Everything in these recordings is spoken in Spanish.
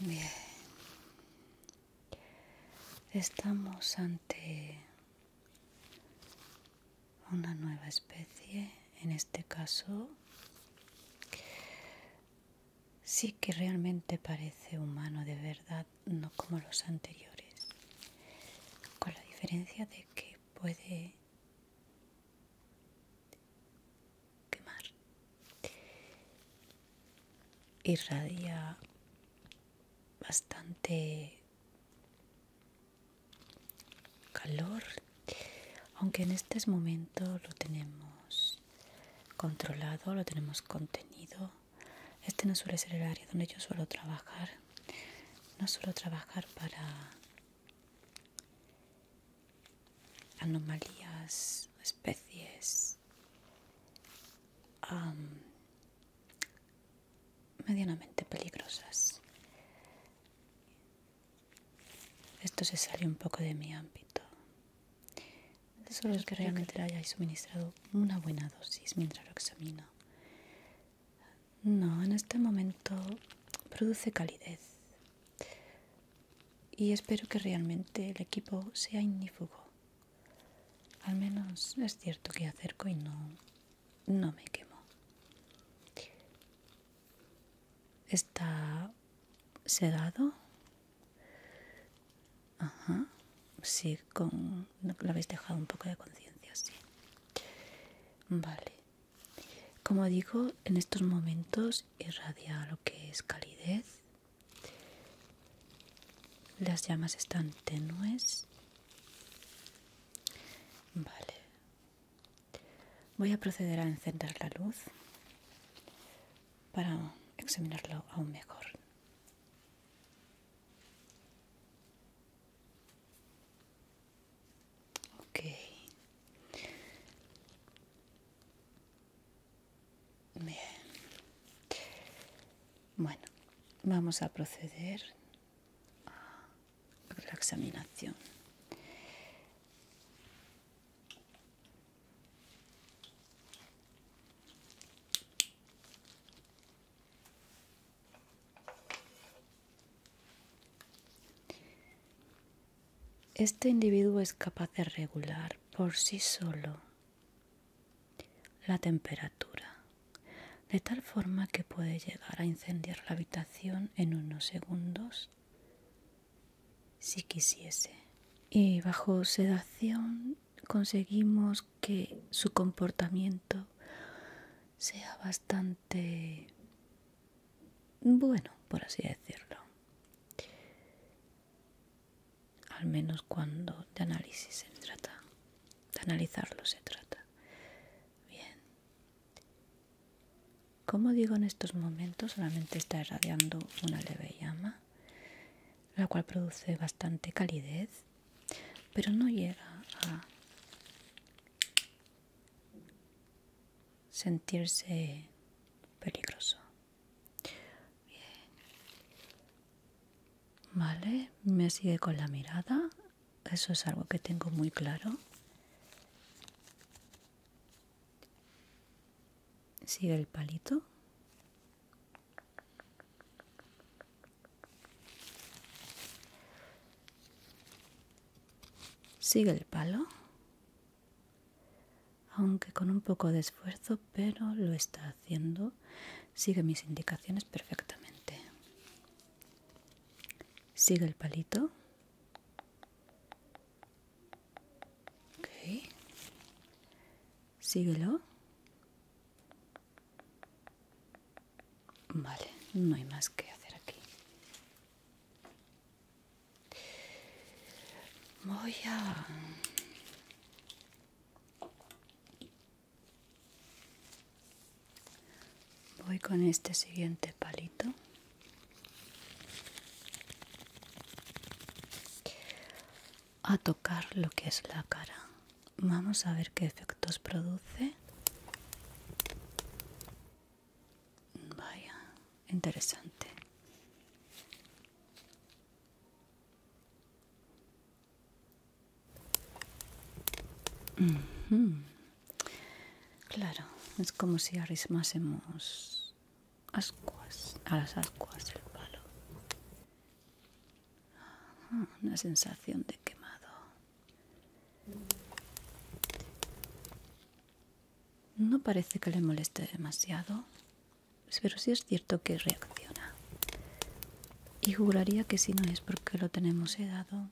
Bien. Estamos ante una nueva especie en este caso sí que realmente parece humano de verdad, no como los anteriores, con la diferencia de que puede quemar. Irradia bastante calor, aunque en este momento lo tenemos controlado, lo tenemos contenido. Este no suele ser el área donde yo suelo trabajar. No suelo trabajar para anomalías, especies medianamente peligrosas. Esto se sale un poco de mi ámbito. Solo es que realmente le hayáis suministrado una buena dosis mientras lo examino. No, en este momento produce calidez. Y espero que realmente el equipo sea ignífugo. Al menos es cierto que acerco y no, no me quemo está sedado. Ajá. Sí, con lo habéis dejado un poco de conciencia, sí. Vale. Como digo, en estos momentos irradia lo que es calidez. Las llamas están tenues. Vale. Voy a proceder a encender la luz para examinarlo aún mejor. Bien. Bueno, vamos a proceder a la examinación. Este individuo es capaz de regular por sí solo la temperatura, de tal forma que puede llegar a incendiar la habitación en unos segundos si quisiese. Y bajo sedación conseguimos que su comportamiento sea bastante bueno, por así decirlo. Al menos cuando de análisis se trata, de analizarlo se trata. Bien, como digo, en estos momentos solamente está irradiando una leve llama, la cual produce bastante calidez, pero no llega a sentirse peligroso. Bien. Vale, me sigue con la mirada, eso es algo que tengo muy claro. Sigue el palito. Sigue el palo. Aunque con un poco de esfuerzo, pero lo está haciendo. Sigue mis indicaciones perfectamente. Sigue el palito. Okay. Síguelo. Vale, no hay más que hacer aquí. Voy a... Voy con este siguiente palito a tocar lo que es la cara vamos a ver qué efectos produce vaya interesante claro es como si arrismásemos ascuas, a las ascuas del palo. Ah, una sensación de quemado. No parece que le moleste demasiado, pero sí es cierto que reacciona. Y juraría que si no es porque lo tenemos dado,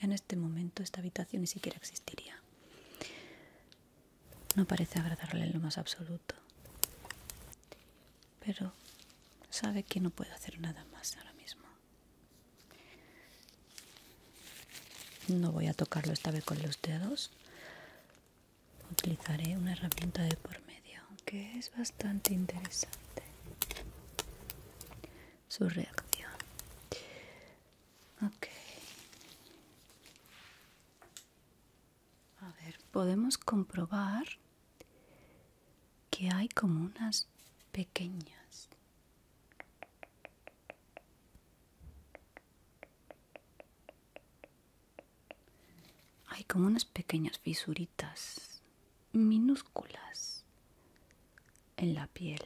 en este momento esta habitación ni siquiera existiría. No parece agradarle en lo más absoluto. Pero sabe que no puede hacer nada más ahora mismo. No voy a tocarlo esta vez con los dedos. Utilizaré una herramienta de por medio, que es bastante interesante. Su reacción. A ver, podemos comprobar que hay como unas pequeñas. Hay como unas pequeñas fisuritas minúsculas en la piel.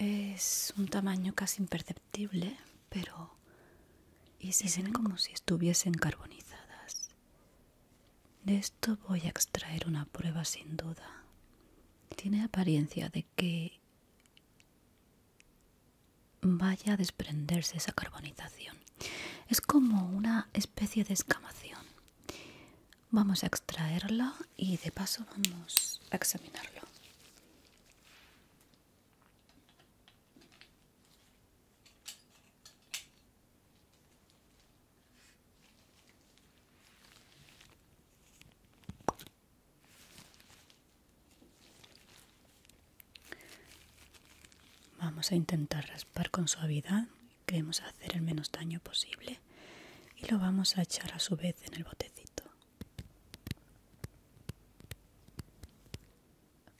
Es un tamaño casi imperceptible, pero... Y se ven como si estuviesen carbonizadas. De esto voy a extraer una prueba sin duda. Tiene apariencia de que vaya a desprenderse esa carbonización. Es como una especie de escamación. Vamos a extraerla y de paso vamos a examinarlo. Vamos a intentar raspar con suavidad, queremos hacer el menos daño posible y lo vamos a echar a su vez en el botecito.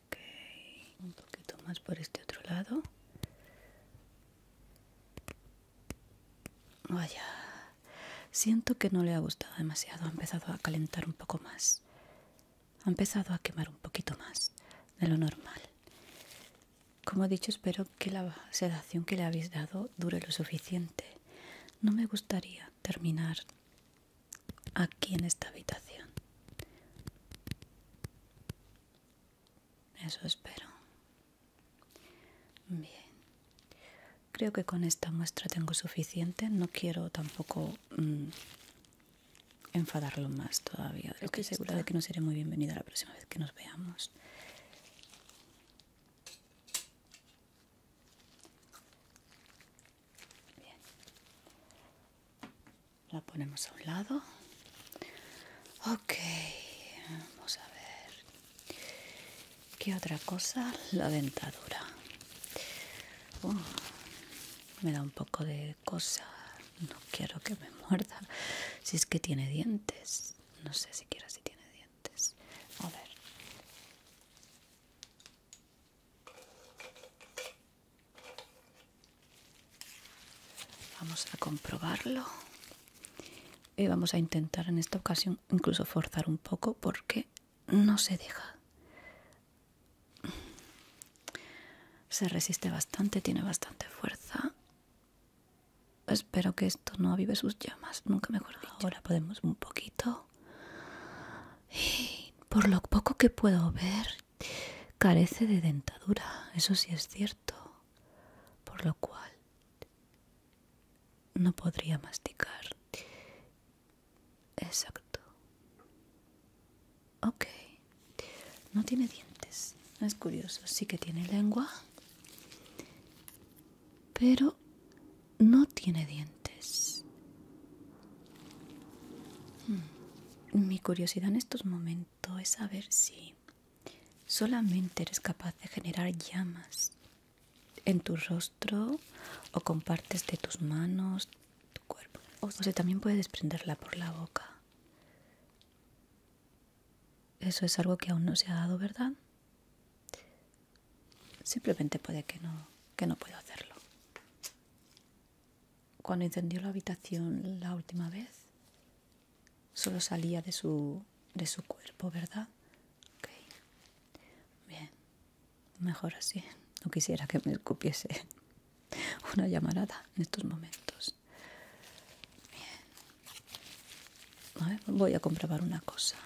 Ok, un poquito más por este otro lado. Vaya, siento que no le ha gustado demasiado, ha empezado a calentar un poco más ha empezado a quemar un poquito más de lo normal. Como he dicho, espero que la sedación que le habéis dado dure lo suficiente. No me gustaría terminar aquí en esta habitación. Eso espero. Bien. Creo que con esta muestra tengo suficiente. No quiero tampoco mm, enfadarlo más todavía. lo que seguro de que no seré muy bienvenida la próxima vez que nos veamos. La ponemos a un lado. Ok, vamos a ver. ¿Qué otra cosa? La dentadura. Uh me da un poco de cosa no quiero que me muerda si es que tiene dientes no sé siquiera si tiene dientes a vamos a comprobarlo y vamos a intentar en esta ocasión incluso forzar un poco porque no se deja se resiste bastante, tiene bastante fuerza. Espero que esto no avive sus llamas, nunca mejor Ahora podemos un poquito. Y por lo poco que puedo ver, carece de dentadura, eso sí es cierto. Por lo cual no podría masticar Exacto. Ok. No tiene dientes. Es curioso. Sí que tiene lengua. Pero no tiene dientes. Hmm. Mi curiosidad en estos momentos es saber si solamente eres capaz de generar llamas en tu rostro o con partes de tus manos, tu cuerpo. O sea, también puede desprenderla por la boca. Eso es algo que aún no se ha dado, ¿verdad? Simplemente puede que no, que no puedo hacerlo. Cuando encendió la habitación la última vez, solo salía de su, de su cuerpo, ¿verdad? Ok. Bien. Mejor así. No quisiera que me escupiese una llamarada en estos momentos. voy a comprobar una cosa.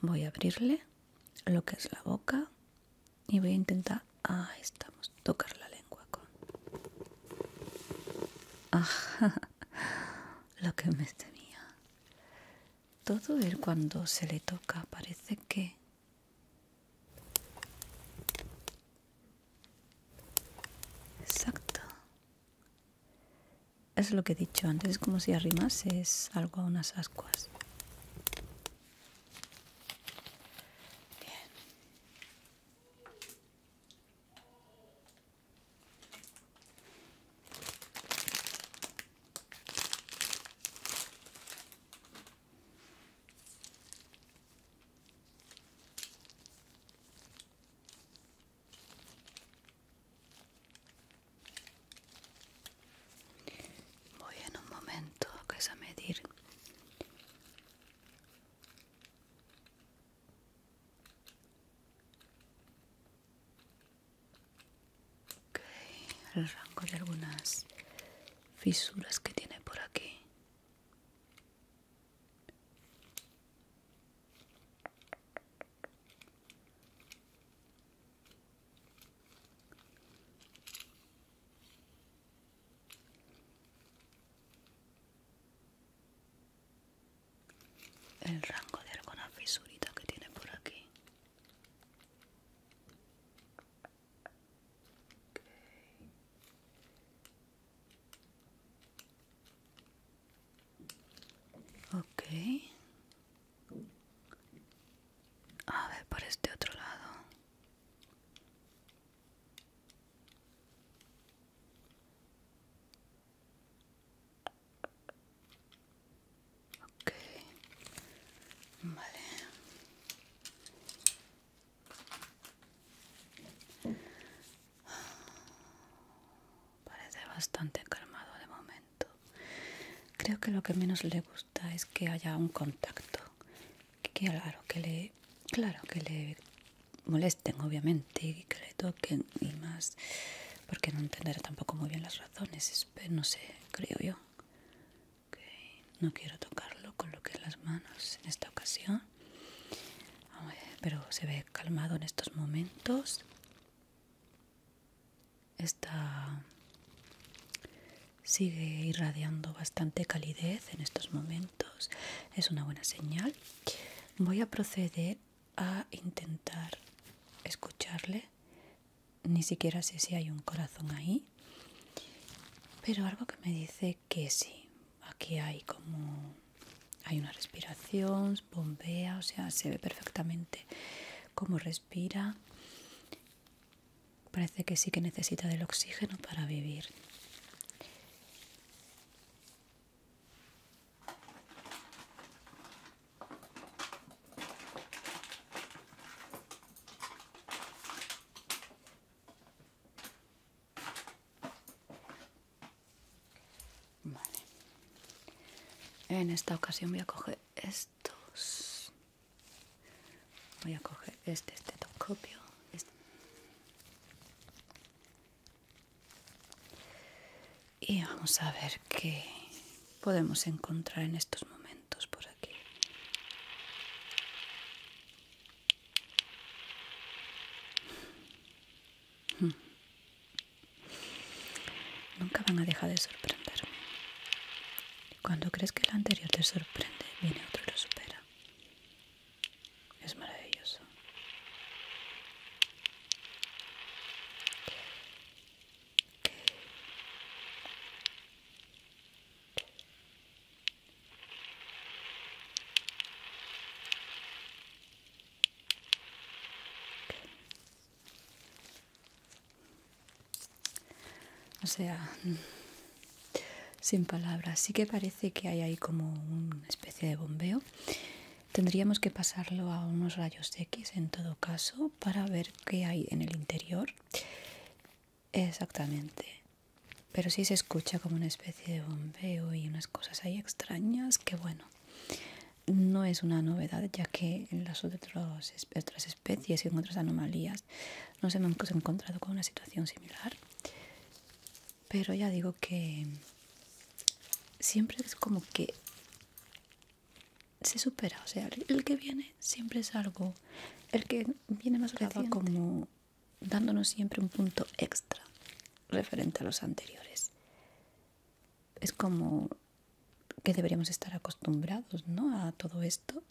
Voy a abrirle lo que es la boca y voy a intentar... Ahí estamos. Tocar la lengua con... Lo que me temía. Todo el cuando se le toca parece que Exacto. Es lo que he dicho antes, es como si arrimases algo a unas ascuas. Voy en un momento que es a medir el rango de algunas fisuras que tiene por aquí el rango de alguna fisurita que tiene por aquí Okay. Ok. A ver, por este otro lado. Okay. Vale. Parece bastante calmado de momento. Creo que lo que menos le gusta es que haya un contacto. Que, claro, que le, claro, que le molesten, obviamente, y que le toquen y más, porque no entenderá tampoco muy bien las razones. No sé, creo yo. No quiero tocarlo con lo que las manos en esta ocasión. pero se ve calmado en estos momentos. Está sigue irradiando bastante calidez en estos momentos. Es una buena señal. Voy a proceder a intentar escucharle. Ni siquiera sé si hay un corazón ahí pero algo que me dice que sí aquí hay como hay una respiración bombea o sea se ve perfectamente cómo respira parece que sí que necesita del oxígeno para vivir en esta ocasión voy a coger estos. Voy a coger este estetoscopio. Este. Y vamos a ver qué podemos encontrar en estos momentos por aquí. Hmm. Nunca van a dejar de sorprender. Cuando crees que el anterior te sorprende, viene otro y lo supera. Es maravilloso. O sea, mm, sin palabras, sí que parece que hay ahí como una especie de bombeo. Tendríamos que pasarlo a unos rayos X en todo caso para ver qué hay en el interior Exactamente. Pero sí se escucha como una especie de bombeo y unas cosas ahí extrañas que bueno, no es una novedad ya que en las otras especies y en otras anomalías nos han encontrado con una situación similar. Pero ya digo que siempre es como que se supera, o sea, el que viene siempre es algo, el que viene más reciente como dándonos siempre un punto extra referente a los anteriores. Es como que deberíamos estar acostumbrados ¿no? a todo esto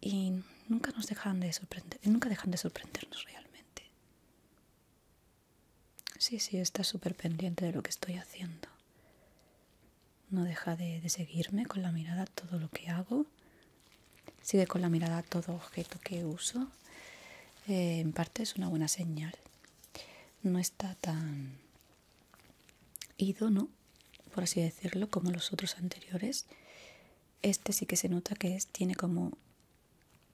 y nunca nos dejan de sorprender, nunca de sorprendernos realmente. Sí, sí, está súper pendiente de lo que estoy haciendo. No deja de seguirme con la mirada todo lo que hago Sigue con la mirada a todo objeto que uso. Eh, en parte es una buena señal. No está tan ido, Por así decirlo, como los otros anteriores. Este sí que se nota que es, tiene como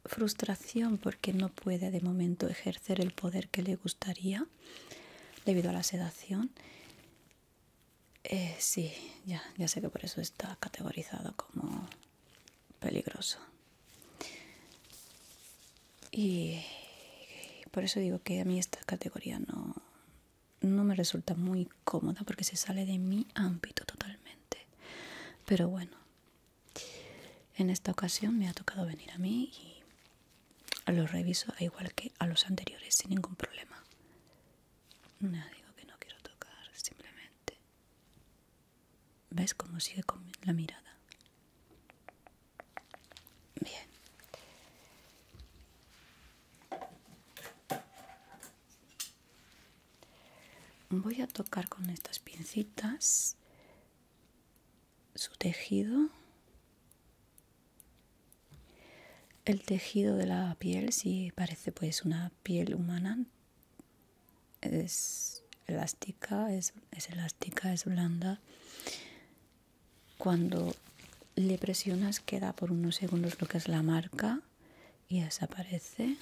frustración porque no puede de momento ejercer el poder que le gustaría debido a la sedación eh, sí, ya, ya sé que por eso está categorizado como peligroso. Y por eso digo que a mí esta categoría no, no me resulta muy cómoda porque se sale de mi ámbito totalmente. Pero bueno, en esta ocasión me ha tocado venir a mí y los reviso igual que a los anteriores sin ningún problema. Nadie digo que no quiero tocar, simplemente. ¿Ves cómo sigue con la mirada? Bien. Voy a tocar con estas pincitas su tejido el tejido de la piel, si parece pues una piel humana, es elástica, es, elástica, es blanda. Cuando le presionas queda por unos segundos lo que es la marca y desaparece.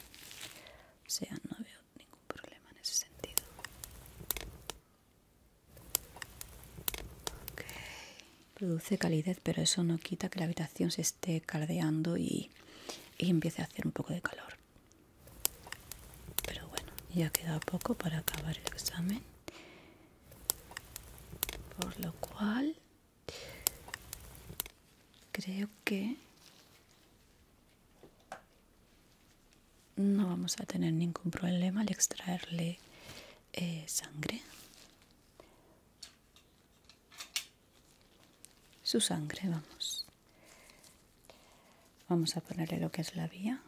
O sea, no veo ningún problema en ese sentido produce calidez, pero eso no quita que la habitación se esté caldeando y, empiece a hacer un poco de calor. Pero bueno, ya queda poco para acabar el examen. Por lo cual, creo que no vamos a tener ningún problema al extraerle eh, sangre su sangre, vamos. Vamos a ponerle lo que es la vía.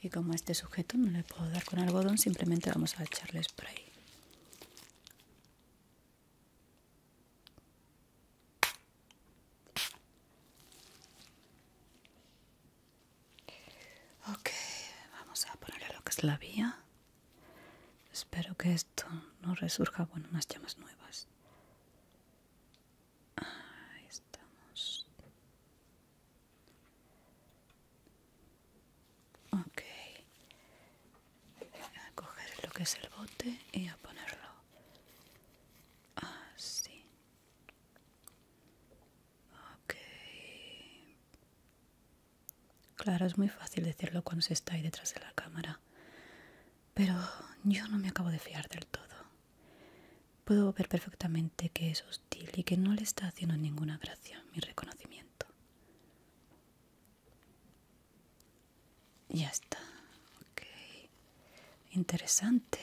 Y como este sujeto no le puedo dar con algodón, simplemente vamos a echarle spray. Ok, vamos a ponerle lo que es la vía. Espero que esto no resurja. Bueno, unas llamas nuevas. Ahí estamos. Ok. A coger lo que es el bote y a ponerlo así. Ok. Claro, es muy fácil decirlo cuando se está ahí detrás de la cámara. Pero yo no me acabo de fiar del todo. Puedo ver perfectamente que es hostil y que no le está haciendo ninguna gracia mi reconocimiento. Ya está. Ok. Interesante.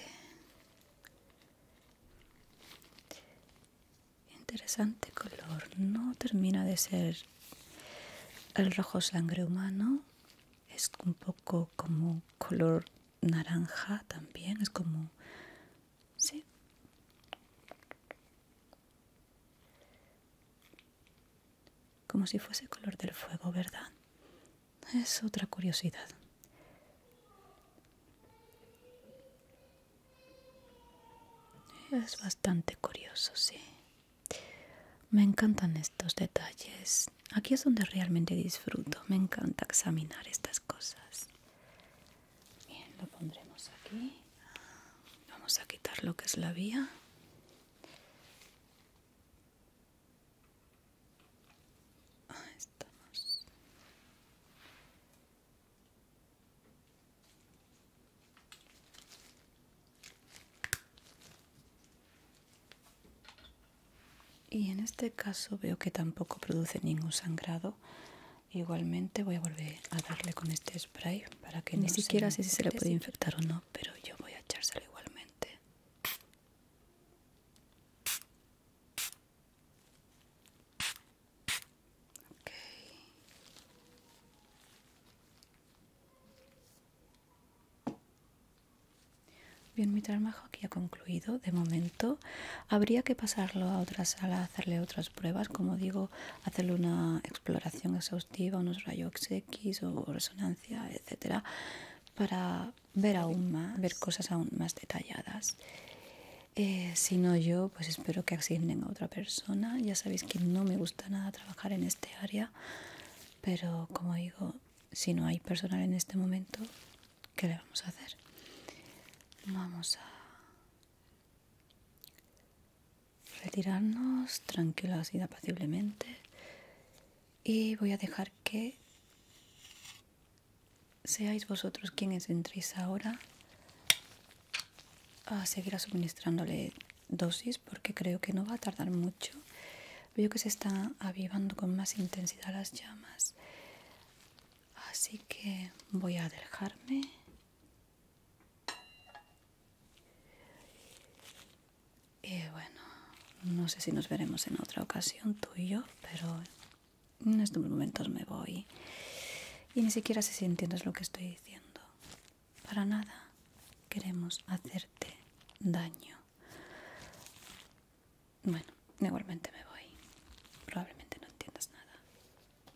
Interesante color, no termina de ser el rojo sangre humano, es un poco como color naranja también, es como... Como si fuese color del fuego, ¿verdad? Es otra curiosidad. Es bastante curioso, sí. Me encantan estos detalles. Aquí es donde realmente disfruto. Me encanta examinar estas cosas. Bien, lo pondremos aquí. Vamos a quitar lo que es la vía. Ahí estamos. Y en este caso veo que tampoco produce ningún sangrado. Igualmente voy a volver a darle con este spray para que ni siquiera sé si se le puede infectar o no, pero yo voy a echárselo igualmente. Bien, mi trabajo aquí ha concluido. De momento habría que pasarlo a otra sala, hacerle otras pruebas, como digo, hacerle una exploración exhaustiva, unos rayos X o resonancia, etcétera, para ver aún más, ver cosas aún más detalladas. Eh, si no yo pues espero que asignen a otra persona ya sabéis que no me gusta nada trabajar en este área pero como digo si no hay personal en este momento ¿qué le vamos a hacer? vamos a retirarnos tranquilos y apaciblemente y voy a dejar que seáis vosotros quienes entréis ahora a seguir suministrándole dosis porque creo que no va a tardar mucho. Veo que se está avivando con más intensidad las llamas. Así que voy a dejarme. Y bueno, no sé si nos veremos en otra ocasión tú y yo, pero en estos momentos me voy y ni siquiera sé si entiendes lo que estoy diciendo. Para nada queremos hacerte daño. Bueno, igualmente me voy. Probablemente no entiendas nada.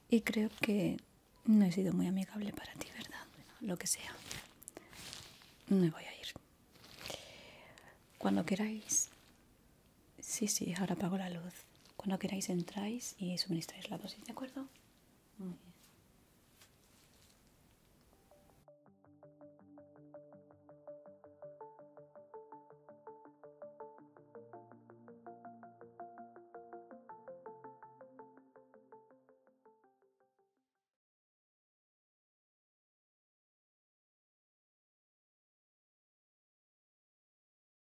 Y creo que no he sido muy amigable para ti, ¿verdad? lo que sea. Me voy a ir. Cuando queráis, Sí, sí, ahora apago la luz. Cuando queráis entráis y suministráis la dosis, ¿de acuerdo? Muy bien.